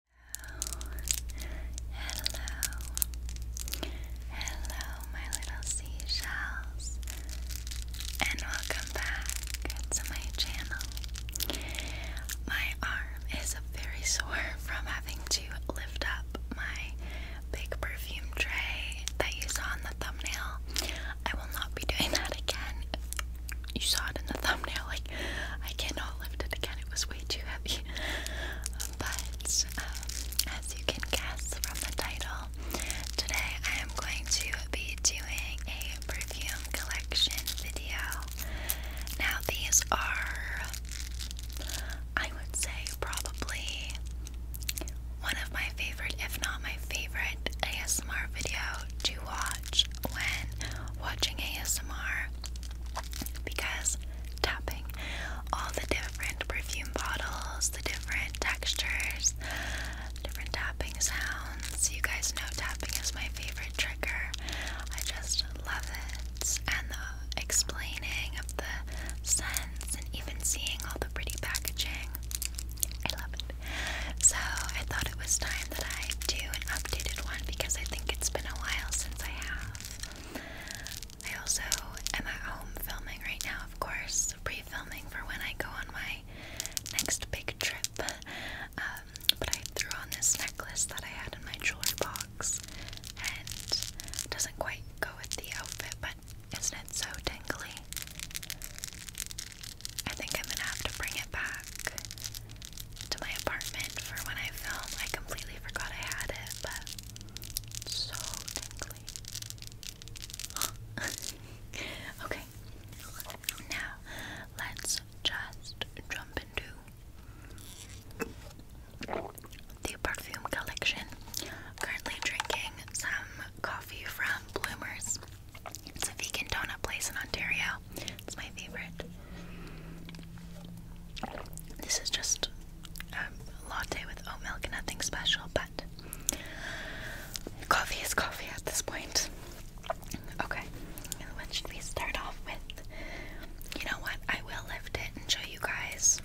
hello, hello, my little seashells, and welcome back to my channel. My arm is very sore from having to lift up my big perfume tray that you saw in the thumbnail. I will not be doing that again. You saw it in the thumbnail, I like, I cannot lift it again, it was way too heavy. But, um, as you can guess from the title, today I am going to be doing a perfume collection video. Now, these are, I would say, probably one of my favorite, if not my favorite, ASMR video to watch when watching ASMR because tapping all the different perfume bottles, the different textures, different tapping sounds. You guys know tapping is my favorite trigger. I just love it. And the explaining of the scents and even seeing all the pretty packaging. I love it. So I thought it was time that I do an updated one because I think it's been a while since I have. I also am at home filming right now, of course, pre filming for when I go on my next big trip. Um, but I threw on this necklace that I had in my jewelry box and it doesn't quite go with the outfit, but isn't it so tingly? I think I'm gonna have to bring it back to my apartment for when I film. I completely forgot I had it, but so tingly. okay, now let's just jump into the perfume collection. Currently drinking some coffee from Bloomers. a vegan donut place in Ontario. It's my favorite. This is just a latte with oat milk, nothing special, but coffee is coffee at this point. Okay, and what should we start off with? You know what? I will lift it and show you guys.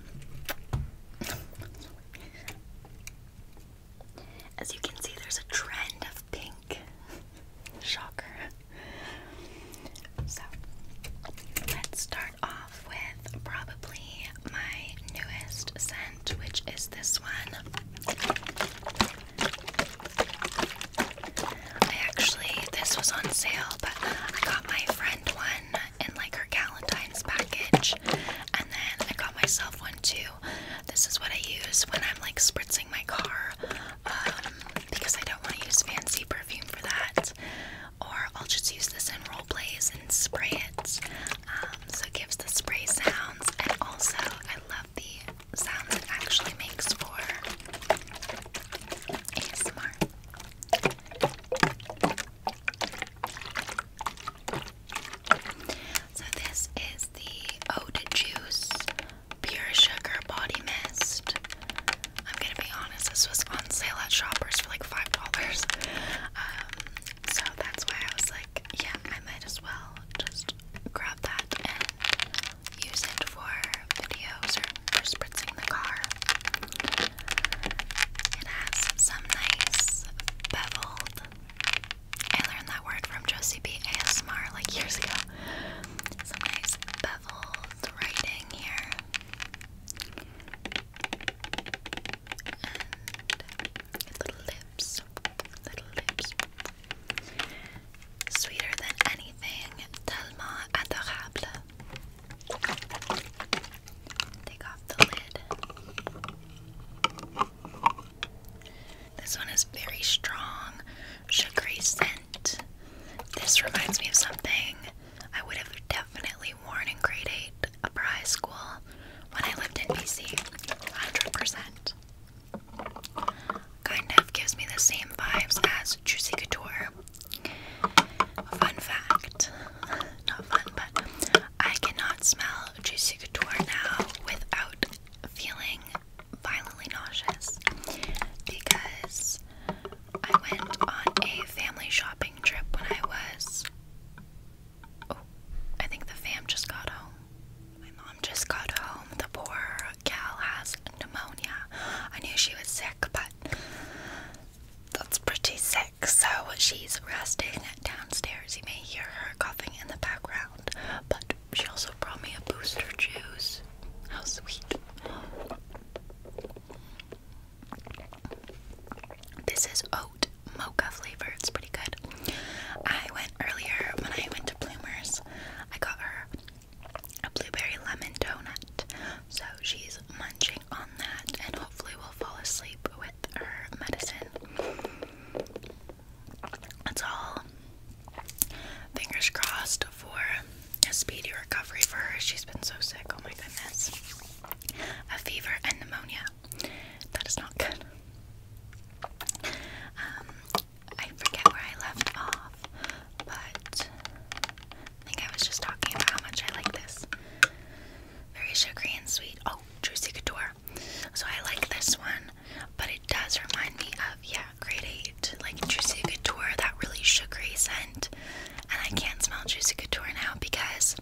As you can see, there's a trend of pink. Shocker. So let's start off with probably my newest scent, which is this one. I actually, this was on sale, but I got my friend one in like her Galentine's package, and then I got myself one too. This is what I use when I'm like spritzing my car um, because I don't want to use fancy perfume for that. Or I'll just use this in role plays and spray it. Um, so it gives the spray sounds, and also I love the sounds it actually makes for ASMR. So this is the Ode Juice Pure Sugar Body Mist. I'm gonna be honest, this was on sale at Shoppers for like five dollars. Um, so that's why I was like, yeah, I might as well just grab that and use it for videos or for spritzing the car. It has some nice beveled. I learned that word from Josie B. ASMR like years ago. Some nice beveled writing here little lips. Little lips. Sweeter than anything. Tellement adorable. Take off the lid. This one is very strong, sugary scent this reminds me of something I would have definitely worn in grade 8 upper high school when I lived in BC. 100%. Kind of gives me the same vibes as Juicy Couture. Fun fact not fun, but I cannot smell Juicy Couture now without feeling violently nauseous because I went on a family shopping trip when I was. Oh, I think the fam just got home. My mom just got home. The poor gal has pneumonia. I knew she was sick, but that's pretty sick. So she's resting downstairs. You may hear her coughing in the background, but she also brought me a booster juice. How sweet. This is oat mocha flavor. It's pretty good. I went earlier when I went to Bloomers. I got her a blueberry lemon donut. So she's munching on that and hopefully will fall asleep with her medicine. That's all. Fingers crossed for a speedy recovery for her. She's been so sick. Oh my goodness. A fever and pneumonia. That is not good. Um, I forget where I left off, but I think I was just talking about how much I like this. Very sugary and sweet. Oh, Juicy Couture. So I like this one, but it does remind me of, yeah, grade like Juicy Couture, that really sugary scent. And I can't smell Juicy Couture now because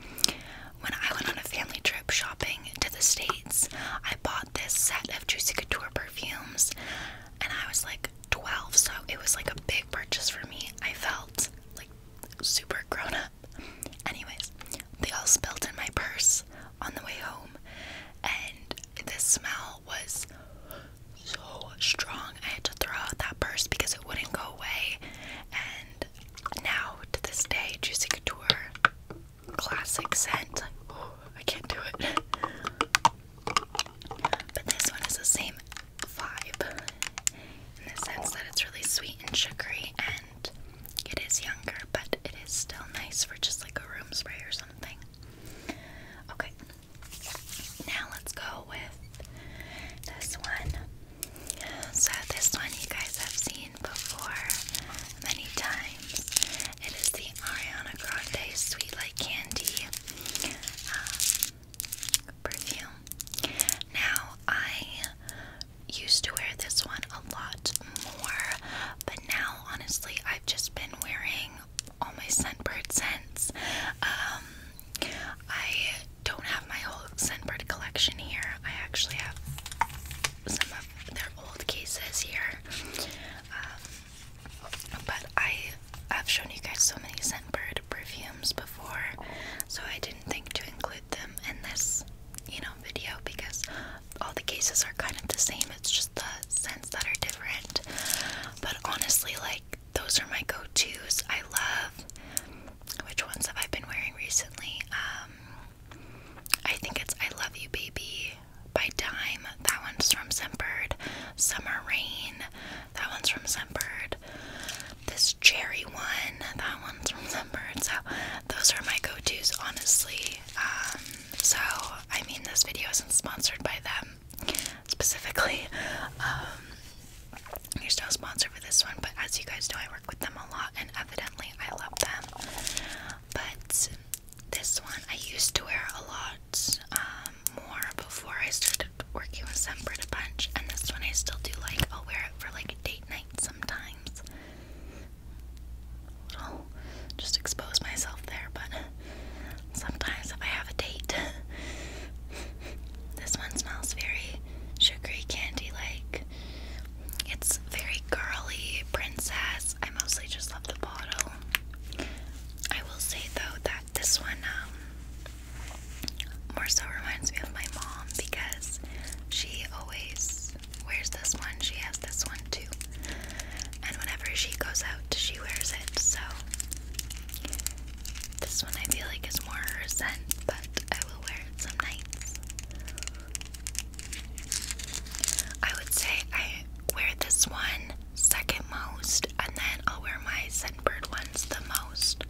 when I went on a family trip shopping to the States, I bought this set of Juicy Couture perfumes and I was like 12, so it was like a big purchase for me. I felt like super grown up. Anyways, they all spilled in my purse on the way home, and the smell was so strong. I had to throw out that purse because it wouldn't go away. And now, to this day, Juicy Couture, classic scent. Oh, I can't do it. But this one is the same vibe in the sense that it's really sweet and sugary and it is younger, but it is still nice for just like a room spray or something. Okay, now let's go with this one. So this one you guys have seen before many times. It is the Ariana Grande Sweet Like Candy um, perfume. Now I used to wear this one a lot more, but now honestly I've just been wearing all my scentbird scents. Um, I don't have my whole Scentbird collection here. I actually have some of their old cases here. Um, but I have shown you guys so many Scentbird perfumes before, so I didn't think to include them in this, you know, video because all the cases are kind of the same. It's just the scents that are different. But honestly, like those are my go-to's. I love which ones have I been wearing recently? Um, I think it's I Love You Baby by Dime. That one's from Scentbird. Summer Rain. That one's from Scentbird. This cherry one. That one's from Scentbird. So those are my go-to's honestly. Um, so I mean this video isn't sponsored by them specifically. Um, you're still a sponsor for this one, but as you guys know, I work with them a lot, and evidently, I love them. But this one, I used to wear a lot um, more before I started working with them a bunch, and this one I still do like. I'll wear it for like a date night sometimes. i just expose myself there, but sometimes if I have a date, this one smells very sugary candy like. It's very girly, princess. I mostly just love the bottle. I will say though that this one um, more so reminds me of my mom because she always wears this one. She has this one too. And whenever she goes out, she wears it. So this one I feel like is more her scent, but I will wear it some nights. I would say I wear this one second most, and then I'll wear my Scentbird ones the most.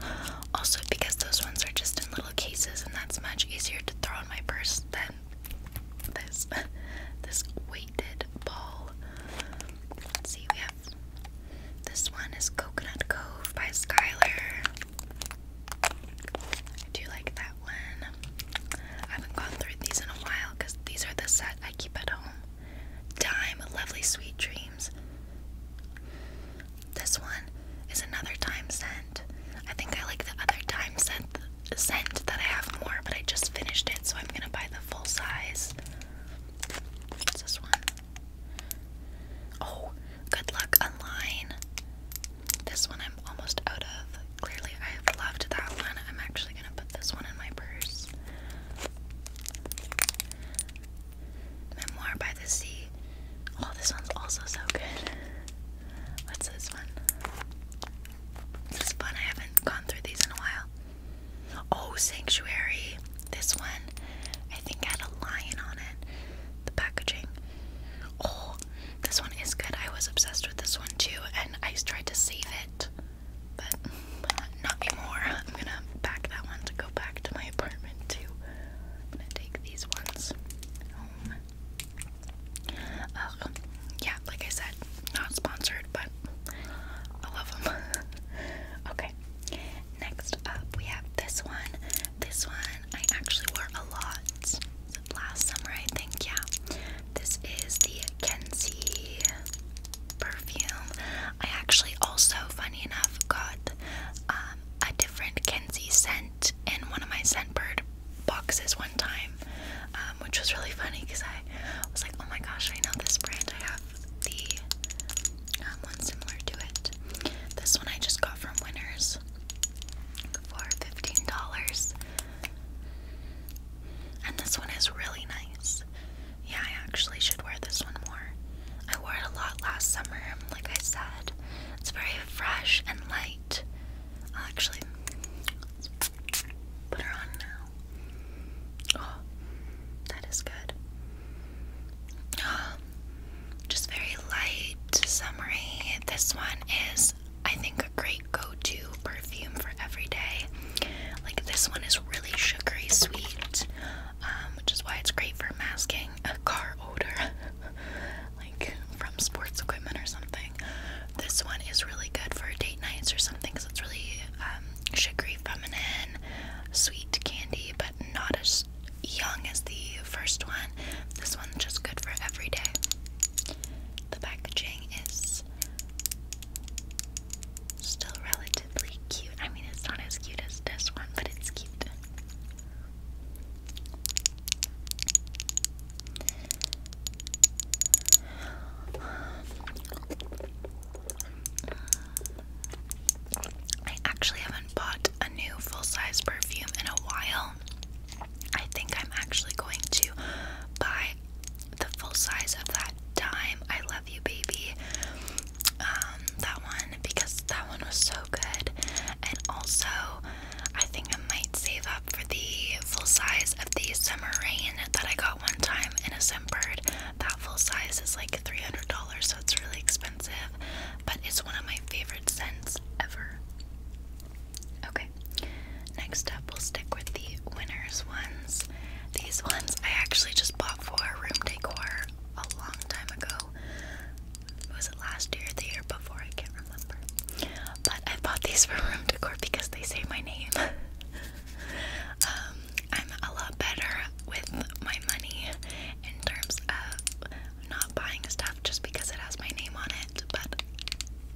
Also, because those ones are just in little cases, and that's much easier to throw in my purse than this this weighted ball. Let's see, we have this one is Coconut Cove by Skylar. I do like that one. I haven't gone through these in a while because these are the set I keep at home. Dime, Lovely Sweet Dreams. This one is another time scent. I think I like the other time scent, scent that I have more, but I just finished it, so I'm gonna buy the full size. What's this one? Oh, good luck online. This one I'm almost out of. Clearly, I have loved that one. I'm actually gonna put this one in my purse. Memoir by the Sea. Oh, this one's also so good. What's this one? This is fun. I haven't gone through these in a while. Oh, Sanctuary. This one, I think, had a lion on it. The packaging. Oh, this one is good. I was obsessed with this one too, and I tried to save it, but not anymore. I'm gonna pack that one to go back to my apartment too. to take these ones home. yeah, like I said, not sponsored, but I love them. okay, Next up, we have this one. This one I actually wore a lot last summer, I think. Yeah, this is the Kenzi perfume. I actually also, funny enough, got um, a different Kenzi scent in one of my Scentbird boxes one time, um, which was really funny because I was like, oh my gosh, I know this brand. I have the um, one similar to it. This one I just got from Winners for $15. And this one is really nice. Yeah, I actually should wear this one more. I wore it a lot last summer, like I said. It's very fresh and light. I'll actually put her on now. Oh, that is good. Um, just very light summery. This one is, I think, a great go-to perfume for every day. Like this one is really sugary sweet, um, which is why it's great for masking a car odor, like from sports equipment or something. This one is really good for date nights or something because it's really um, sugary, feminine, sweet candy, but not as young as the first one. This one's just good for every day. The packaging is still relatively cute. I mean, it's not as cute as this one, but it's cute. I actually haven't bought a new full size perfume in a while. I think I'm actually going to buy the full size of that time I love you, baby. Um, that one because that one was so good, and also I think I might save up for the full size of the summer rain that I got one time in a Sembird. That full size is like $300, so it's really expensive, but it's one of my favorite scents ever. Okay, next up we'll stick with the winners ones. These ones I actually just bought for Room Decor a long time ago. Was it last year or the year before? I can't remember. But I bought these for Room Decor because they say my name. um, I'm a lot better with my money in terms of not buying stuff just because it has my name on it, but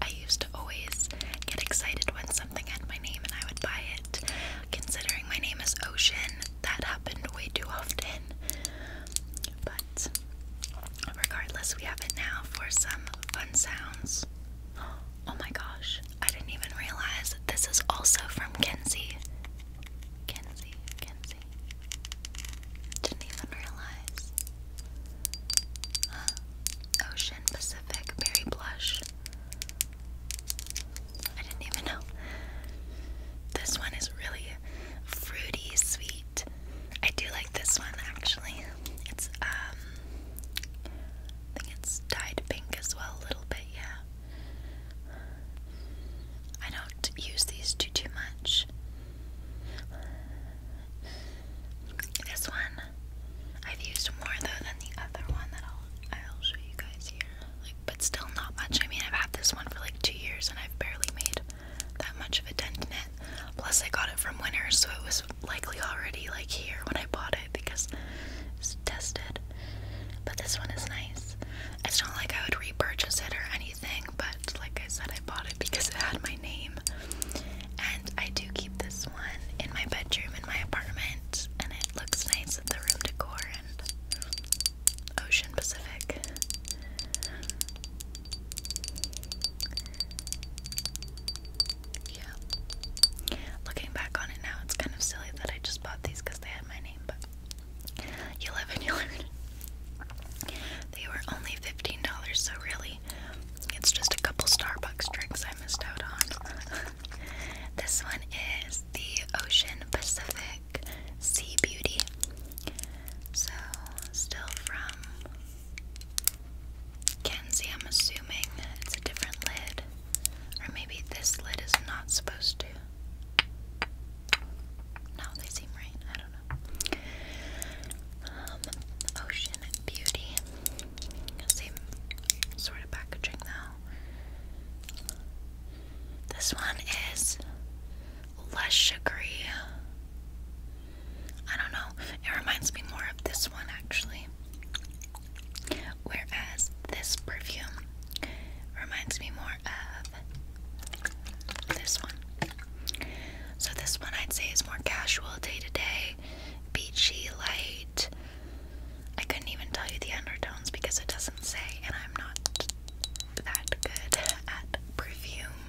I used to always get excited when something had my name and I would buy it. Considering my name is Ocean, that happened way too often. But regardless, we have it now for some fun sounds. Oh my gosh, I didn't even realize this is also from Kenzie. Kenzie, Kenzie. Didn't even realize. Ocean Pacific Berry Blush. I didn't even know. This one is really fruity, sweet. I do like this one actually. It's um it's dyed pink as well a little bit, yeah. I don't use these two too much. This one I've used more though than the other one that I'll I'll show you guys here. Like but still not much. I mean I've had this one for like two years and I've barely made that much of a dent in it. Plus I got it from Winners so it was likely already like here when I bought it because it's tested. But this one is nice. It's not like I would repurchase it or anything, but like I said, I bought it because it had my name. And I do keep this one in my bedroom in my apartment, and it looks nice with the room decor and Ocean Pacific. Yeah. Looking back on it now, it's kind of silly that I just bought these because they had my name, but you live and you learn. They were only $15, so really, it's just a couple Starbucks drinks I missed out on. this one is the Ocean Pacific Sea Beauty. So, still from Kenzie, I'm assuming it's a different lid. Or maybe this lid is not supposed to. No, they seem right. I don't know. Um, Ocean Beauty. Same sort of packaging though. This one is less sugary. I don't know. It reminds me more of this one actually. Whereas this perfume reminds me more of this one. So this one I'd say is more casual, day to day, beachy, light. I couldn't even tell you the undertones because it doesn't say, and I'm not that good at perfume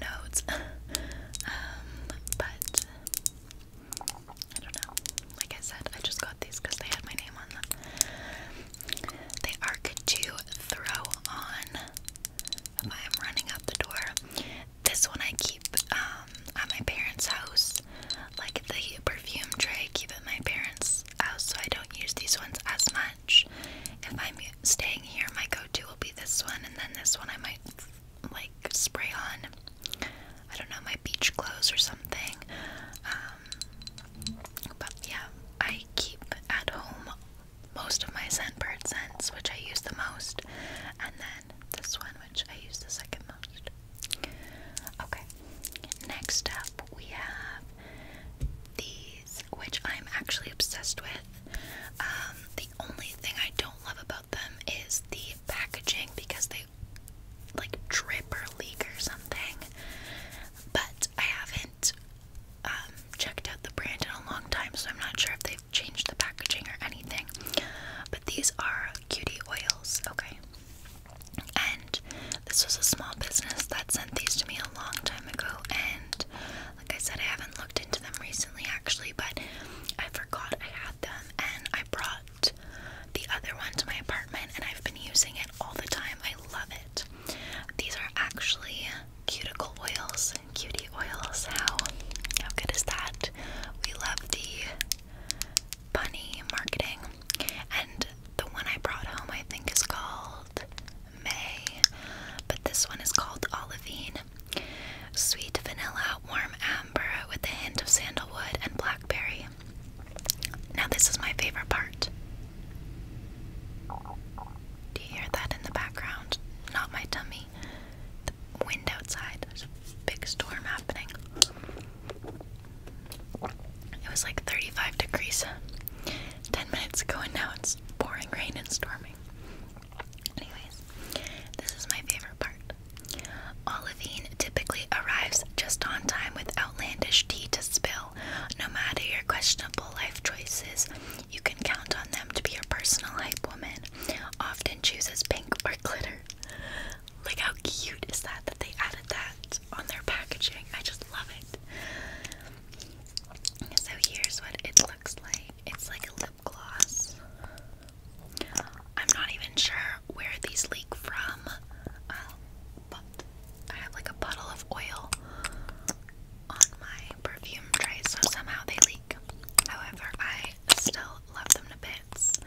notes. Um, but I don't know. Like I said, I just got these because they had my name on them. They are good to throw on I am running out the door. This one I keep um, at my parents' house. Like the perfume tray, I keep at my parents' house, so I don't use these ones as much. If I'm staying here, my go-to will be this one, and then this one I might like spray on. I don't know my beach clothes or something. Um, but yeah, I keep at home most of my scentbird scents, which I use the most, and then this one, which I use the second most. Okay, next up we have these, which I'm actually obsessed with. Um, the only thing I don't love about them is the packaging because they like drip or leak or something. But I haven't um, checked out the brand in a long time, so I'm not sure if they've changed the packaging or anything. But these are cutie oils, okay? And this was a small business that sent these to me a long time ago, and like I said, I haven't looked into them recently actually, but I forgot I had them, and I brought the other one to my apartment, and I've been using it all the time. I love it. These are actually cuticle oils, cutie oils. How how good is that? We love the bunny marketing. And the one I brought home I think is called May. But this one is called Olivine. Sweet vanilla, warm amber with a hint of sandalwood and blackberry. Now, this is my favorite part. Do you hear that in the background? Not my tummy. The wind outside. There's a big storm happening. It was like 35 degrees 10 minutes ago, and now it's pouring rain and storming. Anyways, this is my favorite part. Olivine typically arrives just on time with outlandish tea to spill no matter your questionable life choices, you can count on them to be your personal hype woman. Often chooses pink or glitter. Like, how cute is that that they added that on their packaging? I just love it. So, here's what it looks like it's like a lip gloss. I'm not even sure where these leak from. Um, I have like a bottle of oil on my perfume tray, so somehow they leak. However, I still love them to bits.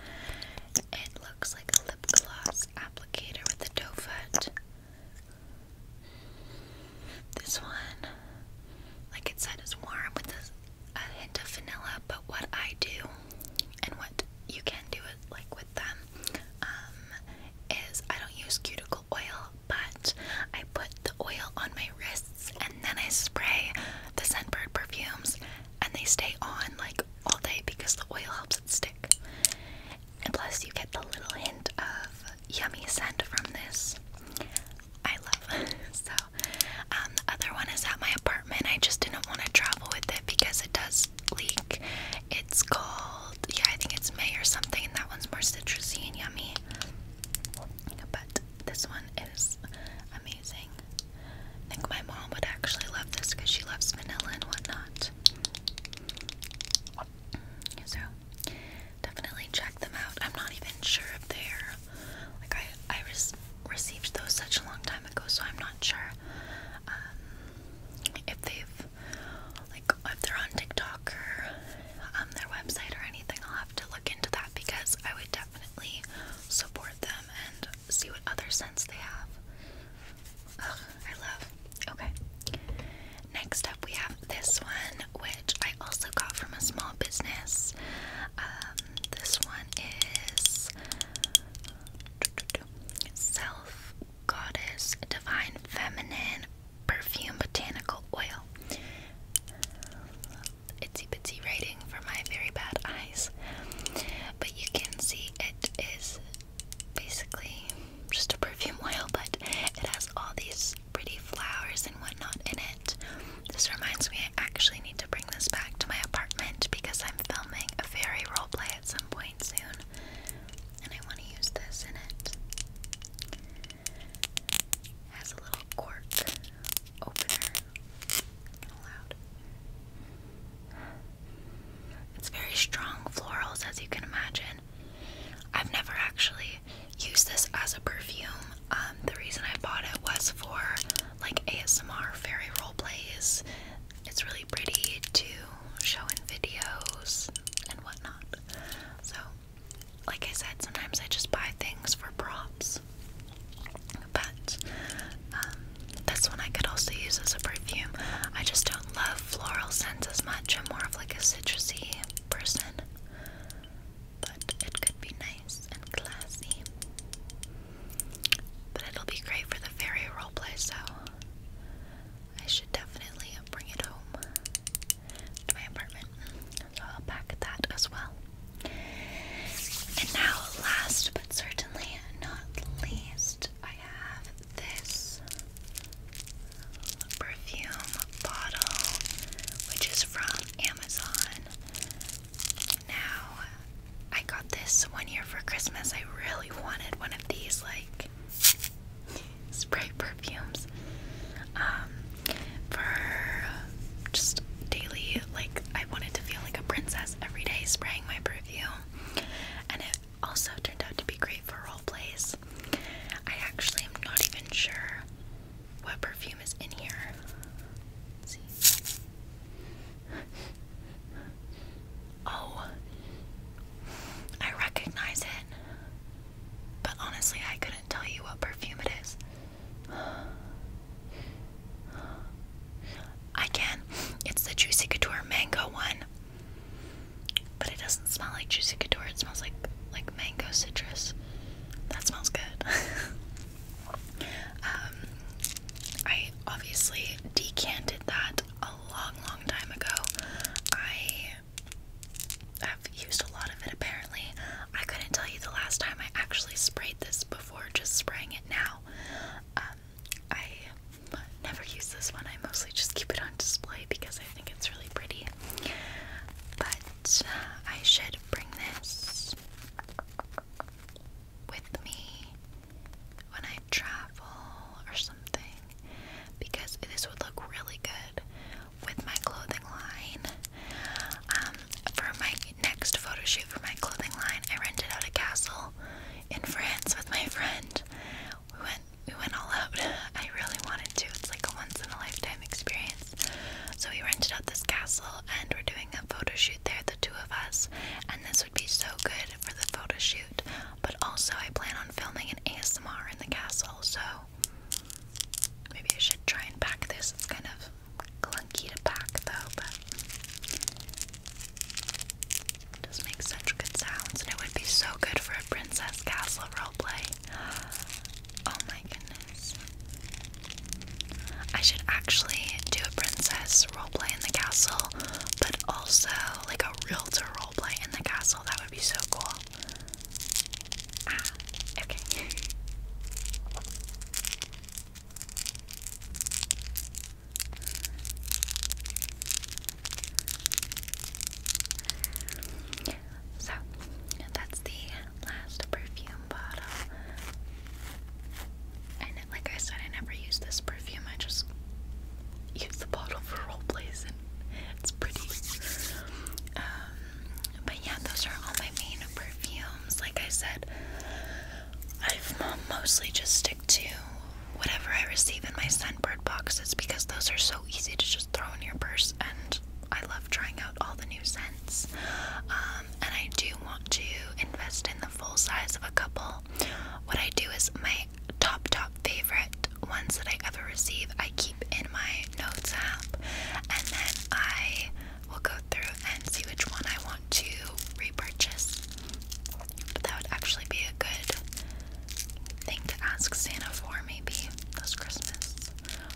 It looks like a lip gloss applicator with a doe foot. This one, like it said, is warm with a, hint of vanilla, but what I do and what you can do it like with them um, is I don't use cuticle oil, but I put the oil on my wrists and then I spray the Scentbird perfumes and they stay on like all day because the oil helps it stick. And plus you get the little hint of yummy scent from this. I love so um the other one is at my apartment. I just didn't want to travel with it because it does this It's cold. yeah, I think it's May or something, and that one's more citrusy and yummy. But this one is amazing. I think my mom would actually love this because she loves vanilla and whatnot. So definitely check them out. I'm not even sure if they're like I I received those such a long time ago, so I'm not sure um, if they've like if they're on TikTok or um, their website or anything, I'll have to look into that because I would definitely support them and see what other scents they have. I love. Okay. Next up, we have this one, which I also got from a small business. Um, this one is self Goddess Divine Feminine Perfume Botanical Oil. Itsy bitsy writing for my very bad eyes. But you can see it is basically just a perfume oil, but it has all these pretty flowers and whatnot in it. This reminds me, I actually need to bring this back to my apartment because I'm filming a fairy role play at some point soon and I want to use this in it. Has a little cork opener. It's very strong florals, as you can imagine. I've never actually used this as a perfume. Um, the reason I bought it was for like ASMR fairy role plays. It's really pretty to show in videos and whatnot out. So, like I said, sometimes I just buy things for props. But um, this one I could also use as a perfume. I just don't love floral scents as much. I'm more of like a citrusy person. But it could be nice and classy. But it'll be great for the fairy roleplay, so I should definitely bring it home to my apartment. So I'll pack that as well. And now, last but certainly not least, I have this perfume bottle, which is from Amazon. Now, I got this one year for Christmas. I really wanted one of these, like, spray perfumes um, for just daily. Like I wanted to feel like a princess every day spraying my perfume, and it also turned out to be great for role plays. I actually am not even sure what perfume is in here. see. Oh, I recognize it. But honestly, I couldn't tell you what perfume it is. I can. It's the Juicy Couture mango one. But it doesn't smell like Juicy Couture. It smells like like mango citrus. That smells good. um, I obviously decanted that a long, long time ago. I I've used a lot of it apparently. I couldn't tell you the last time I actually sprayed this before just spraying it now. Um, I never use this one. I mostly just keep it on display because I think it's really pretty. But uh, I should bring this with me when I travel or something because this would look really good with my clothing line. Um, for my next photo shoot for my clothing line, I rented out a castle in France with my friend. We went we went all out. I really wanted to. It's like a once in a lifetime experience. So we rented out this castle and we're doing a photo shoot there, the two of us. And this would be so good for the photo shoot but also, I plan on filming an ASMR in the castle, so maybe I should try and pack this. It's kind of clunky to pack, though, but it does such good sounds, and it would be so good for a princess castle role play. Oh my goodness. I should actually do a princess role play in the castle, but also like a realtor role play in the castle. That would be so cool. Ah, okay. So, that's the last perfume bottle. And like I said, I never use this perfume. I just use the bottle for role plays, and it's pretty. Um, but yeah, those are all my main perfumes. Like I said, i mostly just stick to whatever I receive in my scentbird boxes because those are so easy to just throw in your purse, and I love trying out all the new scents. Um, and I do want to invest in the full size of a couple. What I do is my top top favorite ones that I ever receive I keep in my notes app and then I will go through and see which one I want to repurchase. But that would actually be a good thing to ask Santa for maybe this Christmas.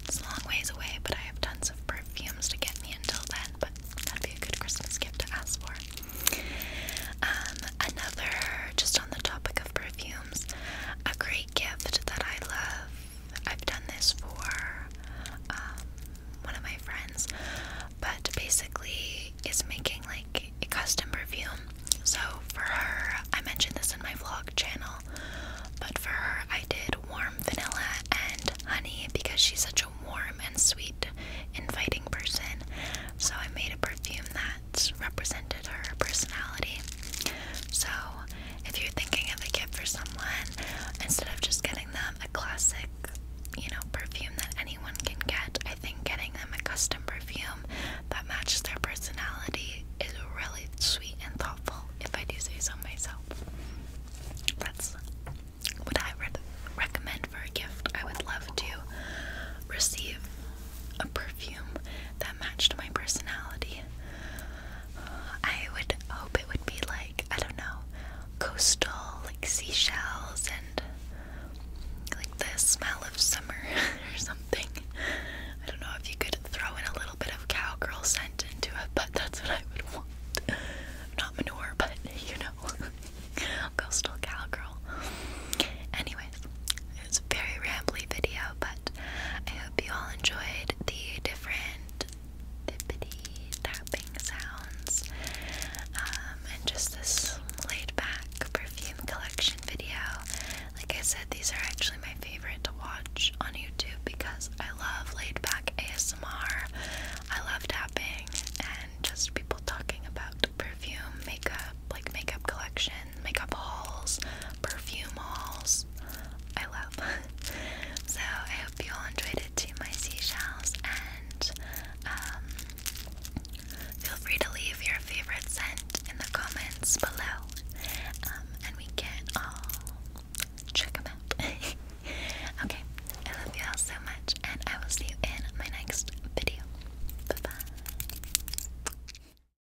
It's a long ways away, but I have tons of perfumes to get me until then, but that'd be a good Christmas gift to ask for. Um, another, just on the topic of perfumes, a great gift that I love. I've done this for um, one of my friends, but basically, it's making like a custom perfume. So, for her, I mentioned this in my vlog channel, but for her, I did warm vanilla and honey because she's such a warm and sweet, inviting person. So, I made a perfume that that represented her personality. So, if you're thinking of a gift for someone, instead of just getting them a classic, you know, perfume that anyone can get, I think getting them a custom perfume that matches their personality is really sweet and thoughtful, if I do say so myself. That's what I would recommend for a gift. I would love to receive a perfume that matched my personality. Uh, I would hope it would be like, I don't know, coastal, like seashells and like the smell of summer or something. I don't know if you could throw in a little bit of cowgirl scent into it, but that's what I would want. Not manure, but you know, coastal cowgirl. Anyways, it's a very rambly video, but I hope you all enjoyed the different tippity tapping sounds um, and just this laid back perfume collection video. Like I said, these are actually my favorite to watch on YouTube because I love laid back ASMR, I love tapping, and just people talking about perfume, makeup, like makeup collection makeup hauls, perfume hauls. I love. so I hope you all enjoyed it too, my seashells, and um, feel free to leave your favorite scent in the comments below, um, and we can all check them out. okay, I love you all so much, and I will see you in my next video. bye.